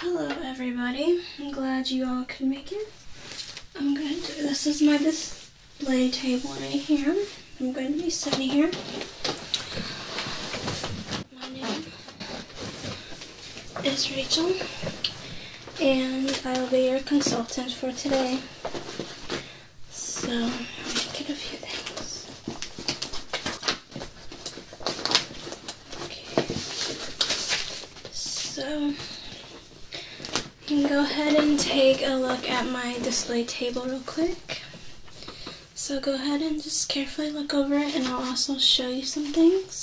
Hello everybody, I'm glad you all could make it. I'm going to, this is my display table right here. I'm going to be sitting here. My name is Rachel and I will be your consultant for today. So I'm making a few things. Okay. So you can go ahead and take a look at my display table real quick. So go ahead and just carefully look over it and I'll also show you some things.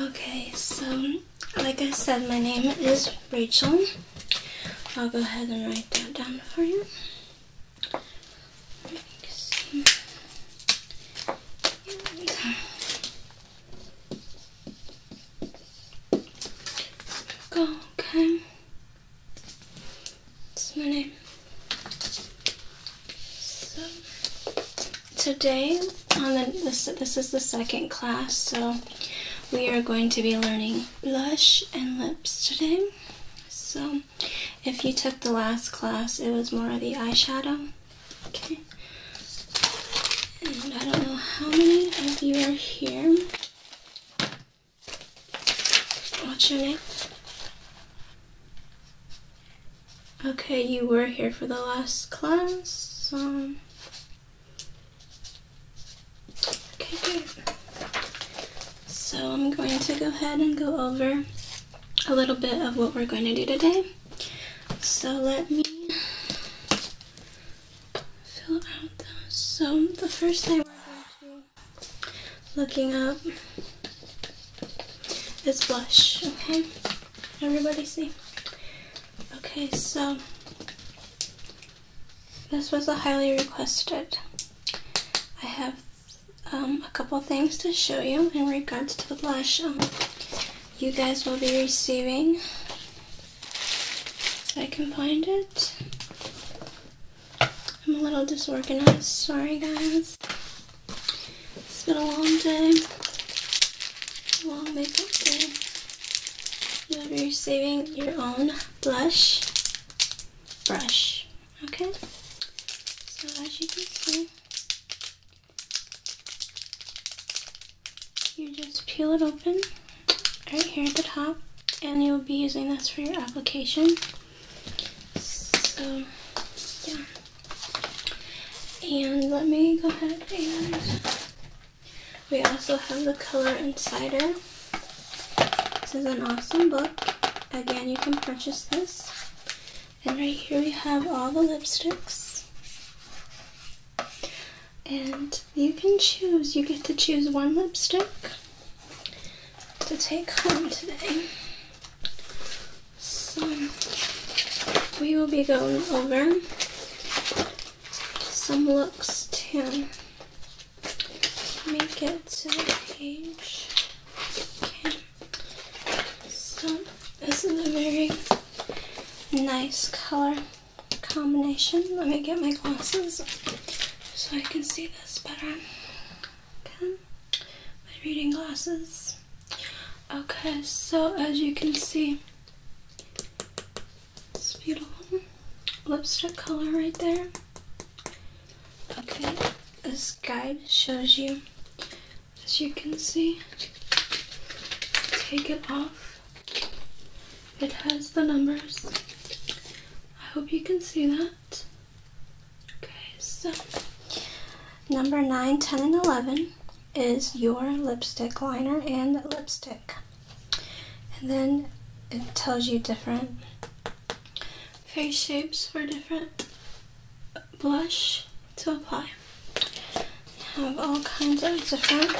Okay, so like I said, my name is Rachel. I'll go ahead and write that down for you. Go, okay. That's my name. So today on the this this is the second class, so we are going to be learning blush and lips today. So if you took the last class, it was more of the eyeshadow. Okay. And I don't know how many of you are here. What's your name? Okay, you were here for the last class. Um, okay, So I'm going to go ahead and go over a little bit of what we're going to do today. So let me fill out those. So the first thing we're going to be looking up is blush, okay? Everybody see? Okay, so this was a highly requested. I have um, a couple things to show you in regards to the blush. Um, you guys will be receiving. I can find it. I'm a little disorganized. Sorry, guys. It's been a long day. Long makeup day. You'll be receiving your own blush brush. Okay? So as you can see, you just peel it open right here at the top and you'll be using this for your application. So, yeah. And let me go ahead and we also have the Color Insider. This is an awesome book. Again, you can purchase this and right here we have all the lipsticks. And you can choose, you get to choose one lipstick to take home today. So we will be going over some looks to make it to the page. Okay. So this is a very nice color combination. Let me get my glasses so I can see this better. My reading glasses. Okay, so as you can see, it's beautiful lipstick color right there. Okay, this guide shows you as you can see. Take it off. It has the numbers. I hope you can see that. Okay, so number 9, 10, and 11 is your lipstick liner and lipstick. And then it tells you different face shapes for different blush to apply. You have all kinds of different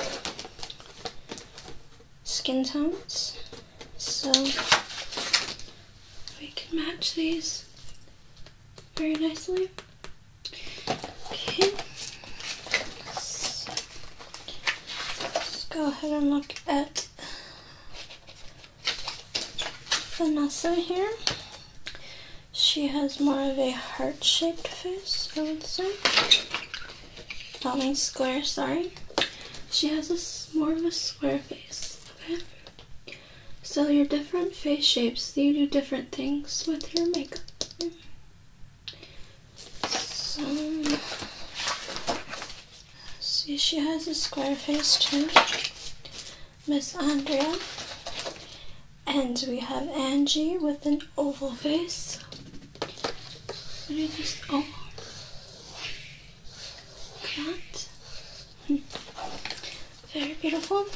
skin tones, so we can match these very nicely. Okay, let's go ahead and look at Vanessa here. She has more of a heart shaped face, I would say. Not mean square, sorry. She has a, more of a square face, okay? So, your different face shapes, you do different things with your makeup. So, see, she has a square face too. Miss Andrea. And we have Angie with an oval face. What are these? Oh, that. Very beautiful.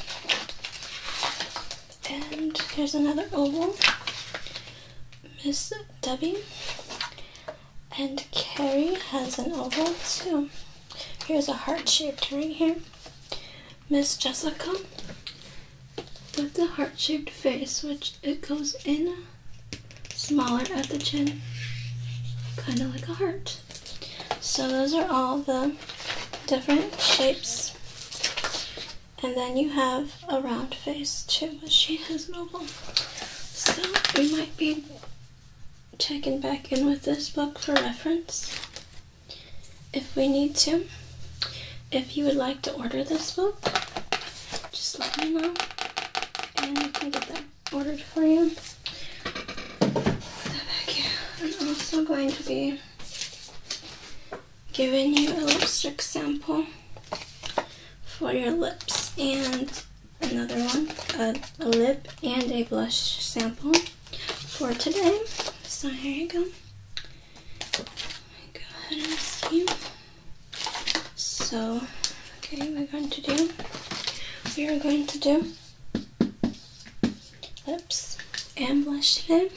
And here's another oval. Miss Debbie. And Carrie has an oval too. Here's a heart shaped ring here. Miss Jessica with the heart shaped face, which it goes in smaller at the chin, kind of like a heart. So, those are all the different shapes. And then you have a round face too, but she has no oval. So, we might be checking back in with this book for reference if we need to. If you would like to order this book, just let me know and we can get that ordered for you. I'm also going to be giving you a lipstick sample for your lips and another one, a, a lip and a blush sample for today. So here you go. Go ahead and see. So, okay, we're going to do, we are going to do lips and blush today.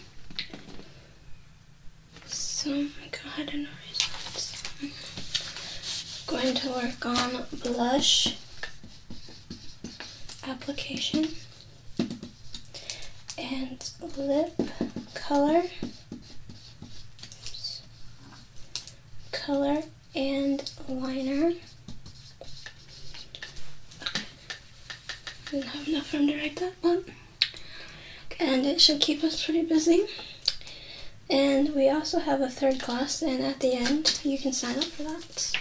So, go ahead and erase I'm going to work on blush application and lip color color and liner okay. didn't have enough time to write that one and it should keep us pretty busy and we also have a third class and at the end you can sign up for that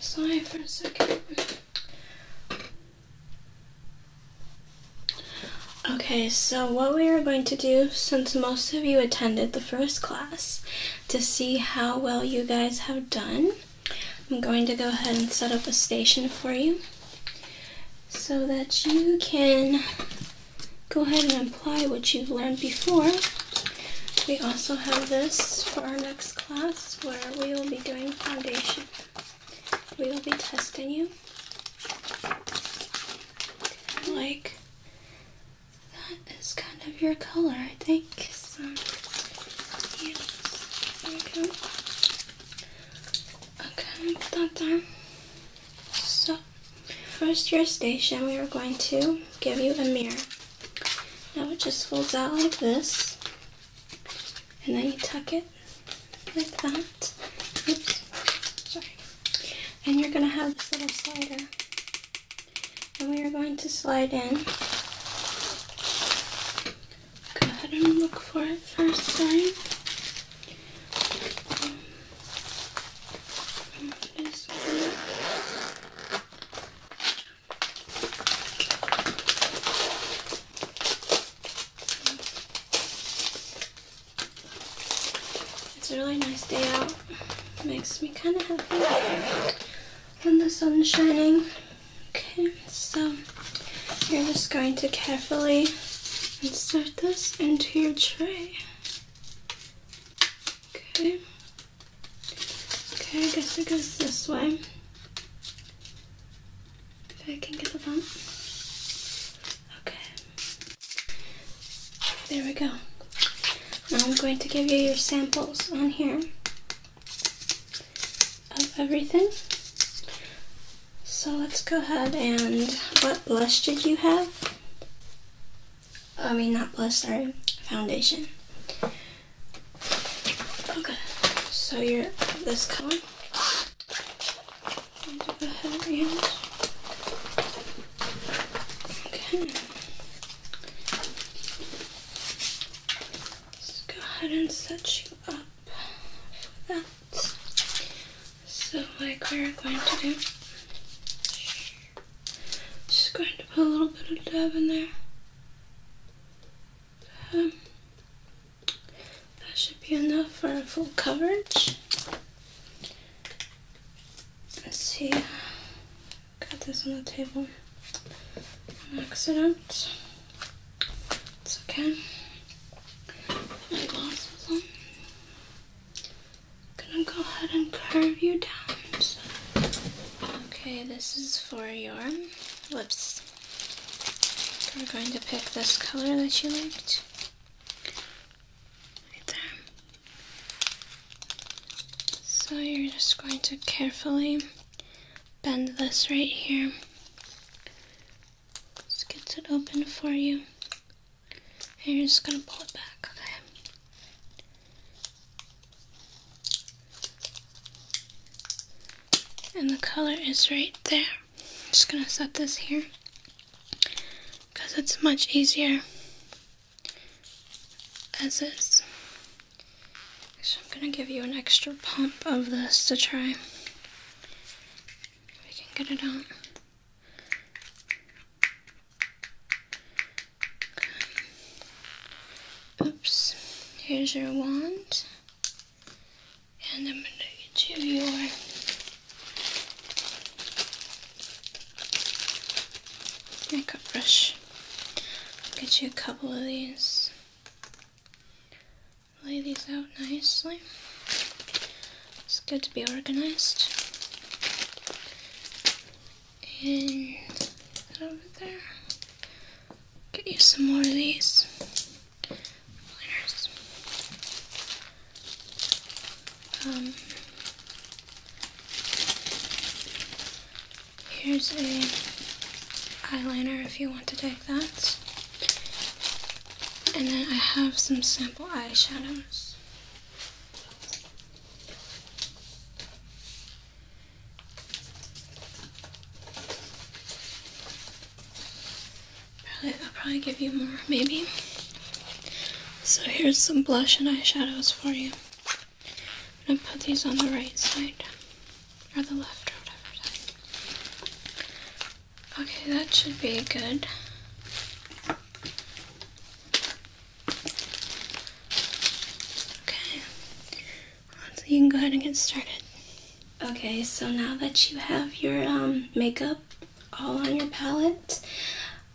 Sorry for a second. Okay, so what we are going to do, since most of you attended the first class, to see how well you guys have done, I'm going to go ahead and set up a station for you so that you can go ahead and apply what you've learned before. We also have this for our next class where we will be doing foundation. We will be testing you. like that is kind of your color, I think. Okay, done done. So first your station, we are going to give you a mirror. Now it just folds out like this, and then you tuck it like that. Oops, sorry. And you're going to have this little slider. And we are going to slide in. Go ahead and look for it first time it's a really nice day out. makes me kind of happy when the sun's shining. Okay, so you're just going to carefully insert this into your tray. Okay. Okay, I guess it goes this way. If I can get the bump. Okay. There we go. Now I'm going to give you your samples on here of everything. So let's go ahead and what blush did you have? I mean, not blush, sorry, foundation. Okay, so you're this color. Okay. Let's go ahead and set you up for that. So, like we are going to do, just going to put a little bit of dab in there. Um, that should be enough for a full coverage. Let's see. Got this on the table. Max it out. It's okay. my glasses on gonna go ahead and curve you down. Okay, this is for your lips. We're going to pick this color that you liked. Right there. So you're just going to carefully bend this right here. Just gets it open for you. And you're just gonna pull it back, okay? And the color is right there. I'm just gonna set this here because it's much easier as is. So I'm gonna give you an extra pump of this to try. We can get it out. Oops, here's your wand. And I'm going to give you your makeup brush. get you a couple of these. Lay these out nicely. It's good to be organized. And over there. Get you some more of these Um, here's a eyeliner if you want to take that. And then I have some sample eyeshadows. Probably, I'll probably give you more, maybe. So here's some blush and eyeshadows for you. I'm gonna put these on the right side, or the left, whatever Okay, that should be good. Okay. So you can go ahead and get started. Okay, so now that you have your um, makeup all on your palette,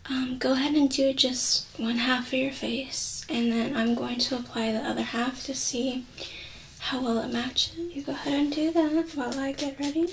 um, go ahead and do just one half of your face, and then I'm going to apply the other half to see how well it matches. You go ahead and do that while I get ready.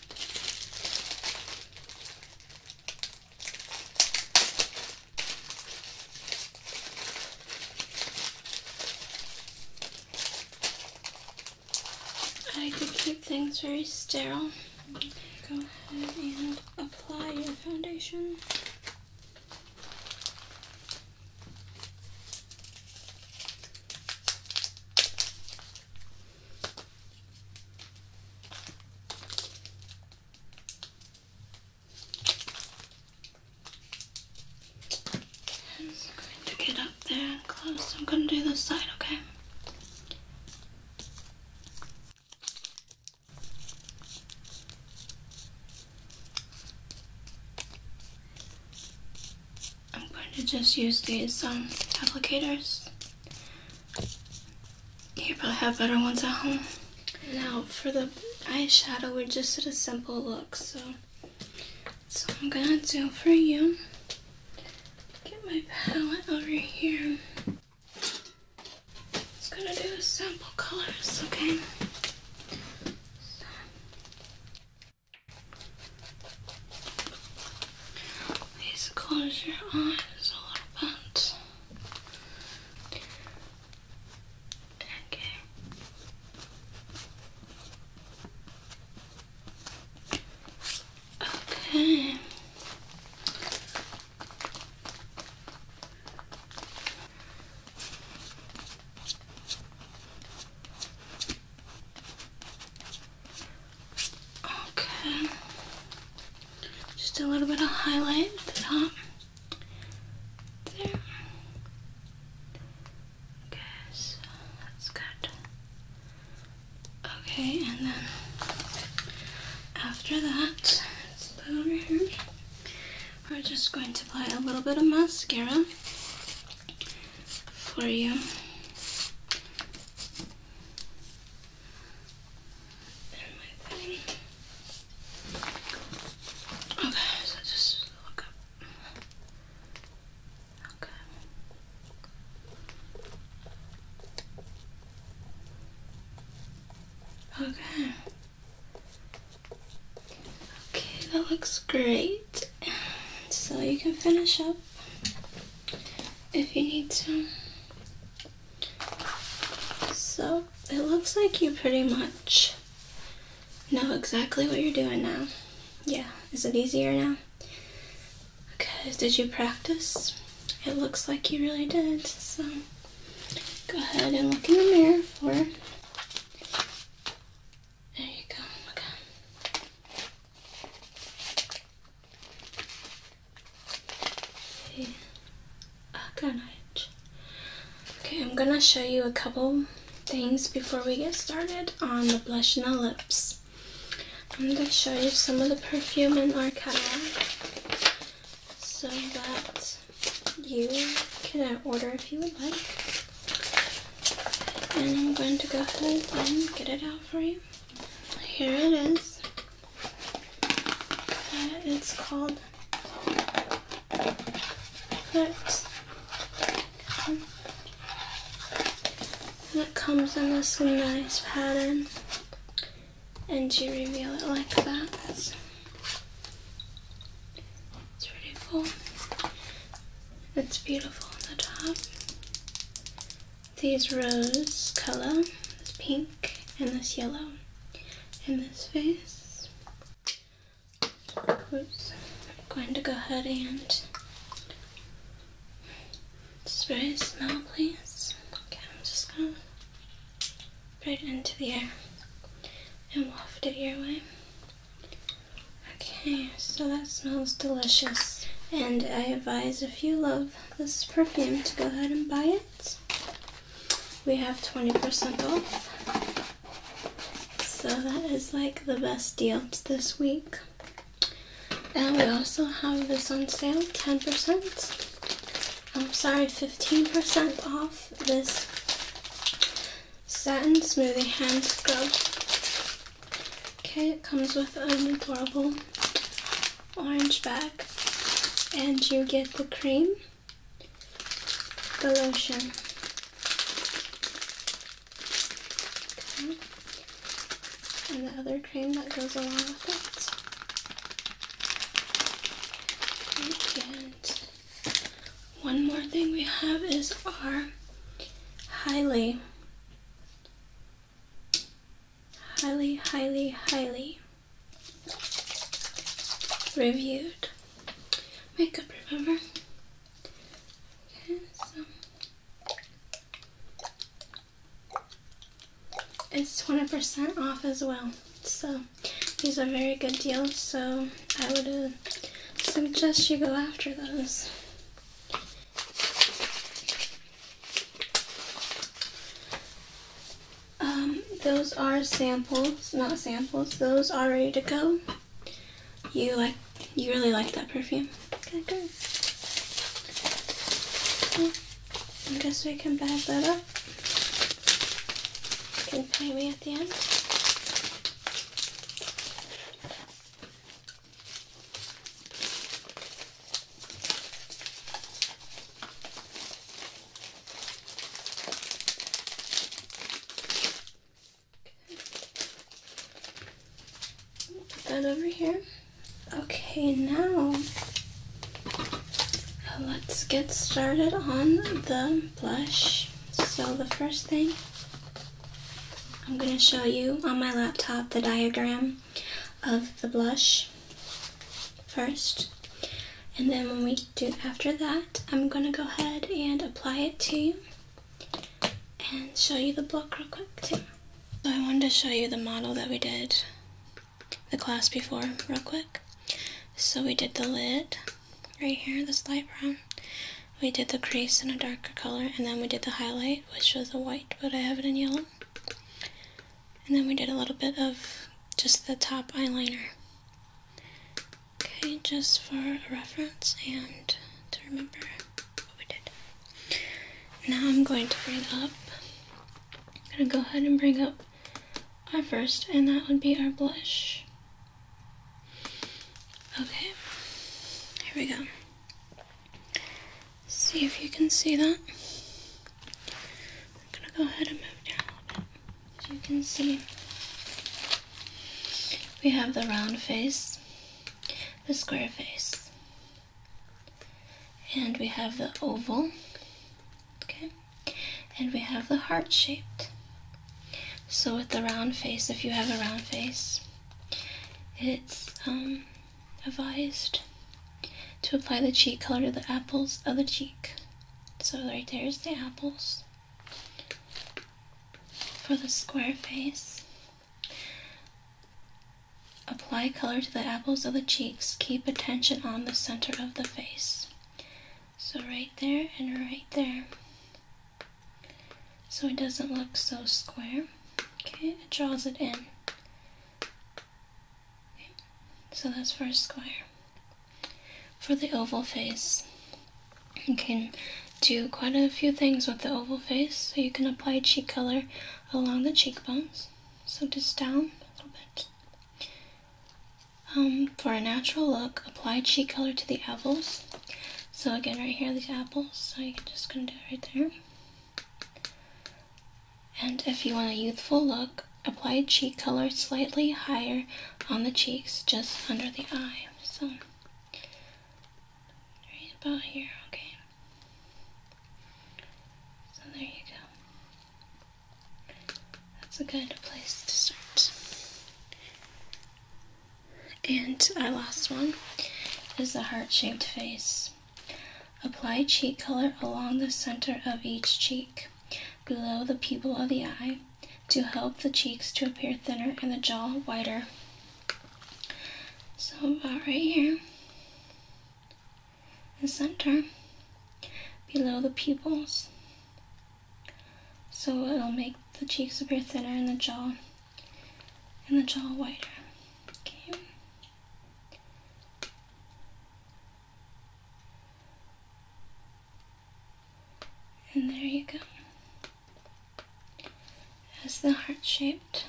I like to keep things very sterile. Go ahead and apply your foundation. I'm going to get up there and close. I'm going to do this side, Okay. I'm going to just use these um, applicators. You probably have better ones at home. Now for the eyeshadow, we're just at a simple look, so so I'm gonna do for you. Get my palette over here. Just gonna do simple colors, okay? Please close your eyes a little bit. Okay. Okay. Okay. Just a little bit of highlight at the top. There. Okay, that's good. Okay, and then after that, over here. We're just going to apply a little bit of mascara for you. Okay, so just look up. Okay. Okay. Okay, that looks great. So you can finish up if you need to. So it looks like you pretty much know exactly what you're doing now. Yeah, is it easier now? Okay, did you practice? It looks like you really did. So go ahead and look in the mirror for. There you go a, Okay, I'm gonna show you a couple things before we get started on the blush and the lips. I'm gonna show you some of the perfume in our catalog so that you can order if you would like. And I'm going to go ahead and get it out for you. Here it is. it's called it comes in this nice pattern. And you reveal it like that. It's, it's It's beautiful on the top these rose color, this pink and this yellow in this face. I'm going to go ahead and spray smell please. Okay, I'm just gonna right into the air and waft it your way. Okay, so that smells delicious. And I advise if you love this perfume to go ahead and buy it. We have 20% off. So that is like the best deal this week. And we also have this on sale, 10%. I'm sorry, 15% off this satin smoothie hand scrub Okay, it comes with an adorable orange bag, and you get the cream, the lotion. And the other cream that goes along with it. And one more thing we have is our highly highly, highly, highly reviewed makeup, remover. Okay, um, it's 20% off as well, so these are very good deals, so I would uh, suggest you go after those. Um, those are samples, not samples. Those are ready to go. You like, you really like that perfume. Okay, I guess we can bag that up. can pay me at the end. Put that over here. Okay, now let's get started on the blush. So the first thing I'm going to show you on my laptop the diagram of the blush first. And then when we do after that, I'm going to go ahead and apply it to you and show you the book real quick too. So I wanted to show you the model that we did the class before real quick. So we did the lid right here, this light brown we did the crease in a darker color, and then we did the highlight, which was a white, but I have it in yellow. And then we did a little bit of just the top eyeliner. Okay, just for a reference and to remember what we did. Now I'm going to bring up, I'm going to go ahead and bring up our first, and that would be our blush. Okay, here we go. See if you can see that. I'm gonna go ahead and move down As you can see, we have the round face, the square face, and we have the oval, okay, and we have the heart shaped. So with the round face, if you have a round face, it's um, advised to apply the cheek color to the apples of the cheek. So right there is the apples. For the square face, apply color to the apples of the cheeks. Keep attention on the center of the face. So right there and right there so it doesn't look so square. Okay, it draws it in. Okay, so that's for a square. For the oval face, you can do quite a few things with the oval face. So you can apply cheek color along the cheekbones. So just down a little bit. Um, for a natural look, apply cheek color to the apples. So again, right here, these apples, so you're just gonna do it right there. And if you want a youthful look, apply cheek color slightly higher on the cheeks, just under the eye. So, right about here, okay. So there you go. That's a good place to start. And our last one is the heart-shaped face. Apply cheek color along the center of each cheek, below the pupil of the eye, to help the cheeks to appear thinner and the jaw wider. So about right here, the center, below the pupils. So it'll make the cheeks appear thinner and the jaw and the jaw wider. Okay. And there you go. As the heart shaped.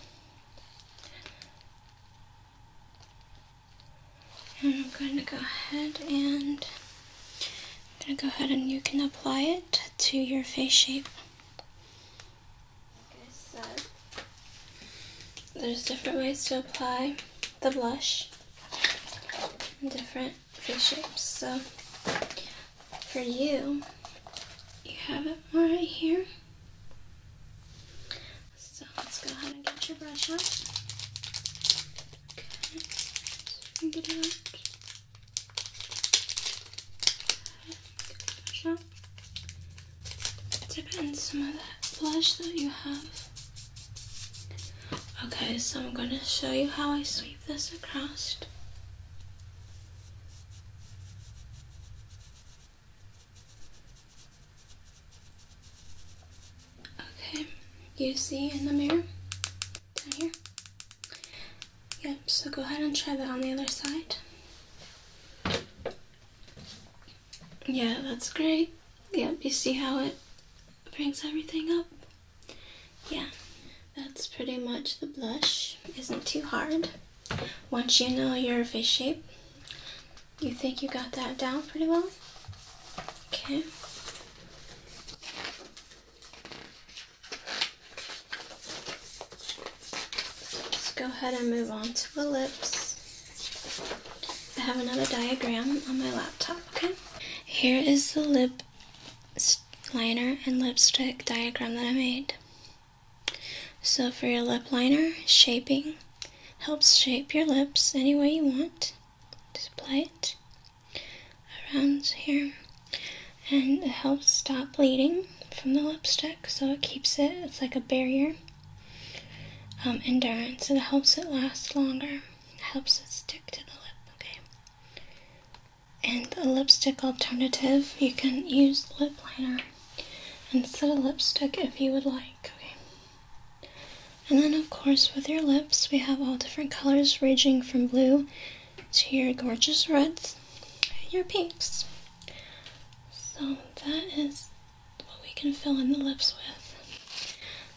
And I'm going to go ahead and I'm going to go ahead and you can apply it to your face shape like I said, there's different ways to apply the blush in different face shapes. So for you, you have it right here. So let's go ahead and get your brush out. Now, dip in some of that blush that you have. Okay, so I'm going to show you how I sweep this across. Okay, you see in the mirror here, Yep, so go ahead and try that on the other side. Yeah, that's great. Yep, you see how it brings everything up? Yeah, that's pretty much the blush. Isn't too hard. Once you know your face shape, you think you got that down pretty well? Okay. Let's go ahead and move on to ellipse. I have another diagram on my laptop, okay? Here is the lip liner and lipstick diagram that I made. So for your lip liner, shaping helps shape your lips any way you want. Just apply it around here and it helps stop bleeding from the lipstick so it keeps it it's like a barrier um, endurance it helps it last longer it helps it stick to the lip okay and the lipstick alternative you can use lip liner instead of lipstick if you would like okay and then of course with your lips we have all different colors ranging from blue to your gorgeous reds and your pinks. So that is what we can fill in the lips with.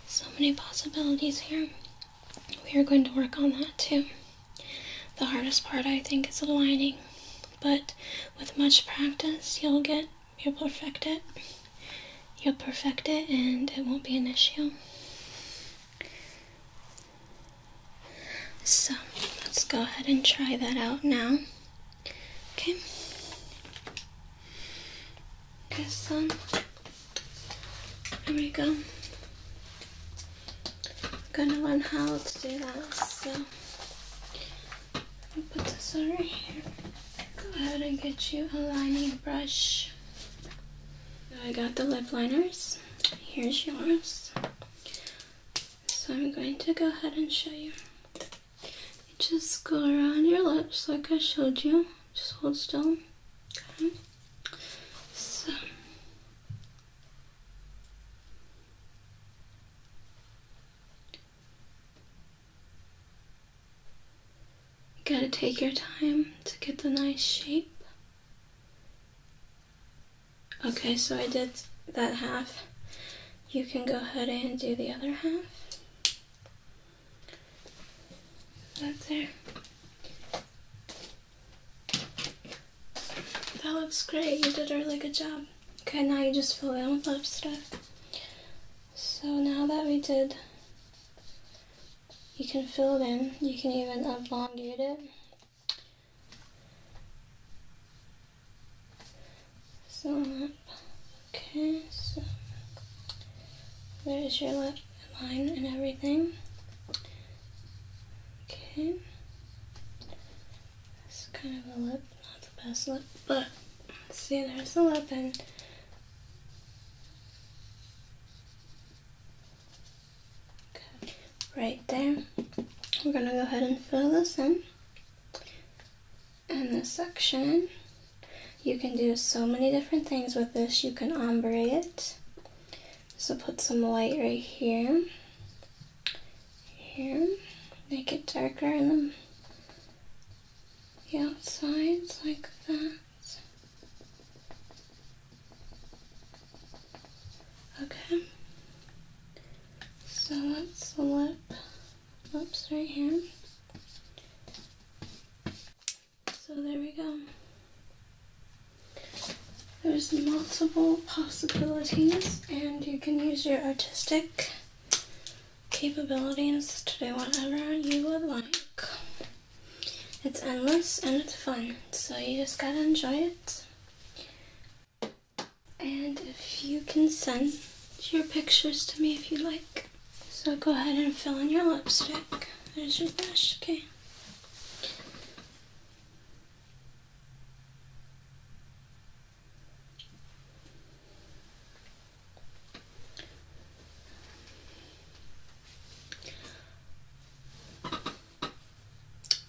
So many possibilities here. We are going to work on that too. The hardest part I think is aligning, but with much practice you'll get, you'll perfect it. You'll perfect it and it won't be an issue. So let's go ahead and try that out now. Okay. Okay, so um, here we go. gonna learn how to do that. So I'll put this over here. Go ahead and get you a lining brush. I got the lip liners. Here's yours. So I'm going to go ahead and show you. just go around your lips like I showed you. Just hold still. So you gotta take your time to get the nice shape. Okay, so I did that half. You can go ahead and do the other half. That's there. That looks great. You did a really good job. Okay, now you just fill in with love stuff. So now that we did, you can fill it in. You can even elongate it so lip. Okay, so there's your lip line and everything. Okay. It's kind of a lip, not the best lip, but see there's the lip and Right there. We're going to go ahead and fill this in. And this section, you can do so many different things with this. You can ombre it. So put some light right here. Here. Make it darker in the, the outsides like that. Okay. So that's the lip. Oops, right here. So there we go. There's multiple possibilities and you can use your artistic capabilities to do whatever you would like. It's endless and it's fun, so you just gotta enjoy it. And if you can send your pictures to me if you like. So go ahead and fill in your lipstick. There's your brush, okay.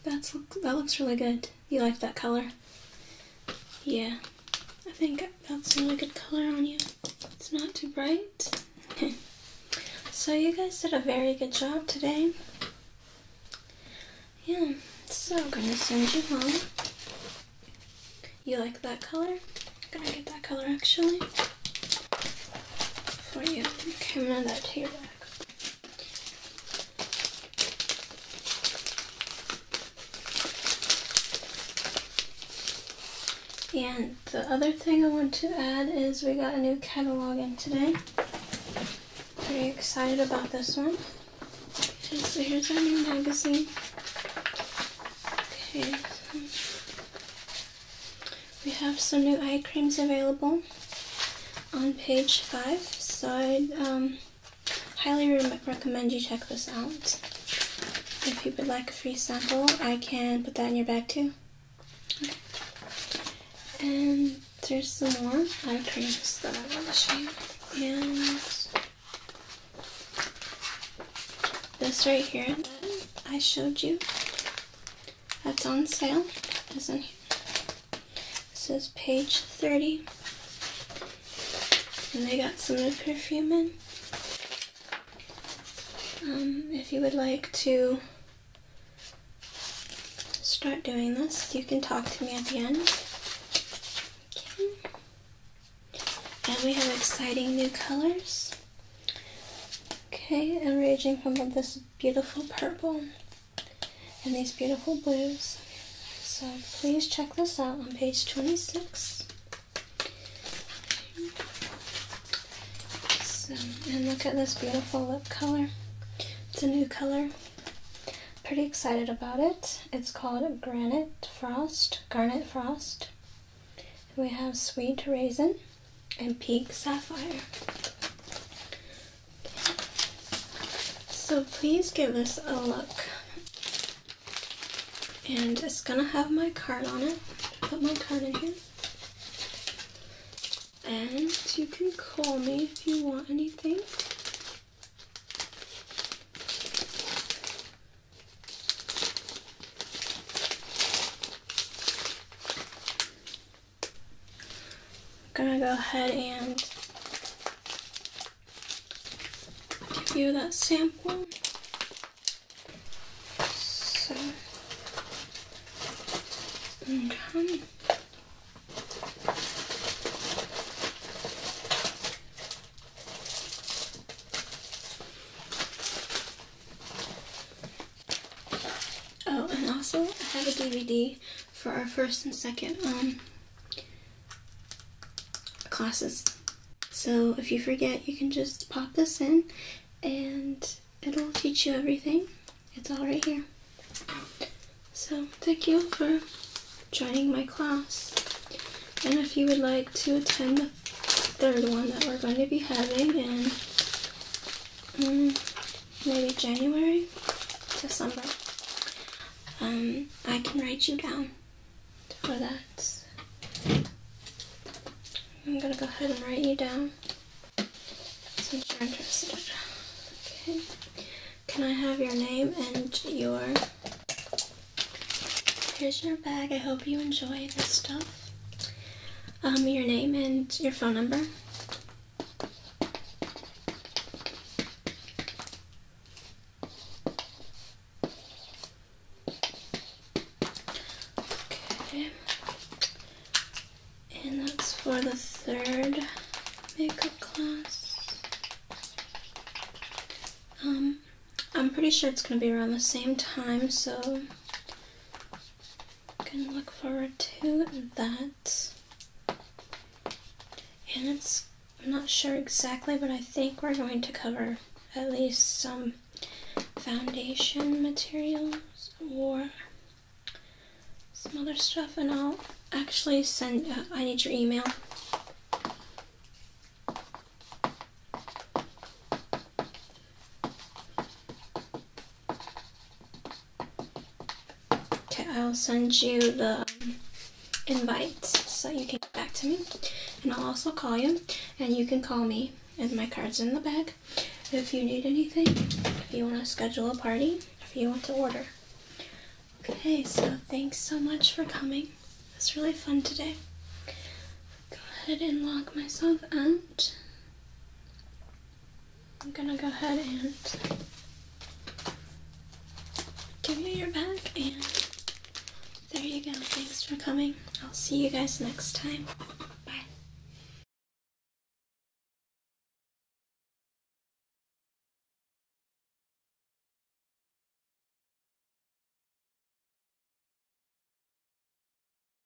That's that looks really good. You like that color? Yeah, I think that's a really good color on you. It's not too bright. So you guys did a very good job today. Yeah, so I'm gonna send you home. You like that color? gonna get that color actually for you. Okay, i that to and the other thing I want to add is we got a new catalog in today. Very excited about this one. so here's our new magazine. Okay, we have some new eye creams available on page 5, so i um, highly recommend you check this out. If you would like a free sample, I can put that in your bag too. And there's some more eye creams that I want to show you. And this right here I showed you that's on sale. This is page 30. And they got some new perfume in. Um, if you would like to start doing this, you can talk to me at the end. And we have exciting new colors. Okay, and ranging from this beautiful purple and these beautiful blues. So please check this out on page 26. and look at this beautiful lip color. It's a new color. Pretty excited about it. It's called Granite Frost, Garnet Frost. we have Sweet Raisin and pink sapphire. So please give us a look. And it's gonna have my card on it. Put my card in here. And you can call me if you want anything. I'm gonna go ahead and view that sample. So, okay. Oh, and also I have a DVD for our first and second um, classes. So if you forget, you can just pop this in and it'll teach you everything. It's all right here. So thank you for joining my class. And if you would like to attend the third one that we're going to be having Mm, maybe January, December. Um, I can write you down for that. I'm gonna go ahead and write you down since you're interested. Okay. Can I have your name and your here's your bag. I hope you enjoy this stuff um, your name and your phone number. Okay. And that's for the third makeup class. Um, I'm pretty sure it's going to be around the same time, so can look forward to that. And it's, I'm not sure exactly, but I think we're going to cover at least some foundation materials or some other stuff. And I'll actually send, uh, I need your email. Okay, I'll send you the um, invite so you can get back to me. And I'll also call you, and you can call me, and my card's in the bag. If you need anything, if you want to schedule a party, if you want to order. Okay, so thanks so much for coming. It was really fun today. Go ahead and log myself out. I'm gonna go ahead and give you your bag and there you go. Thanks for coming. I'll see you guys next time. Bye.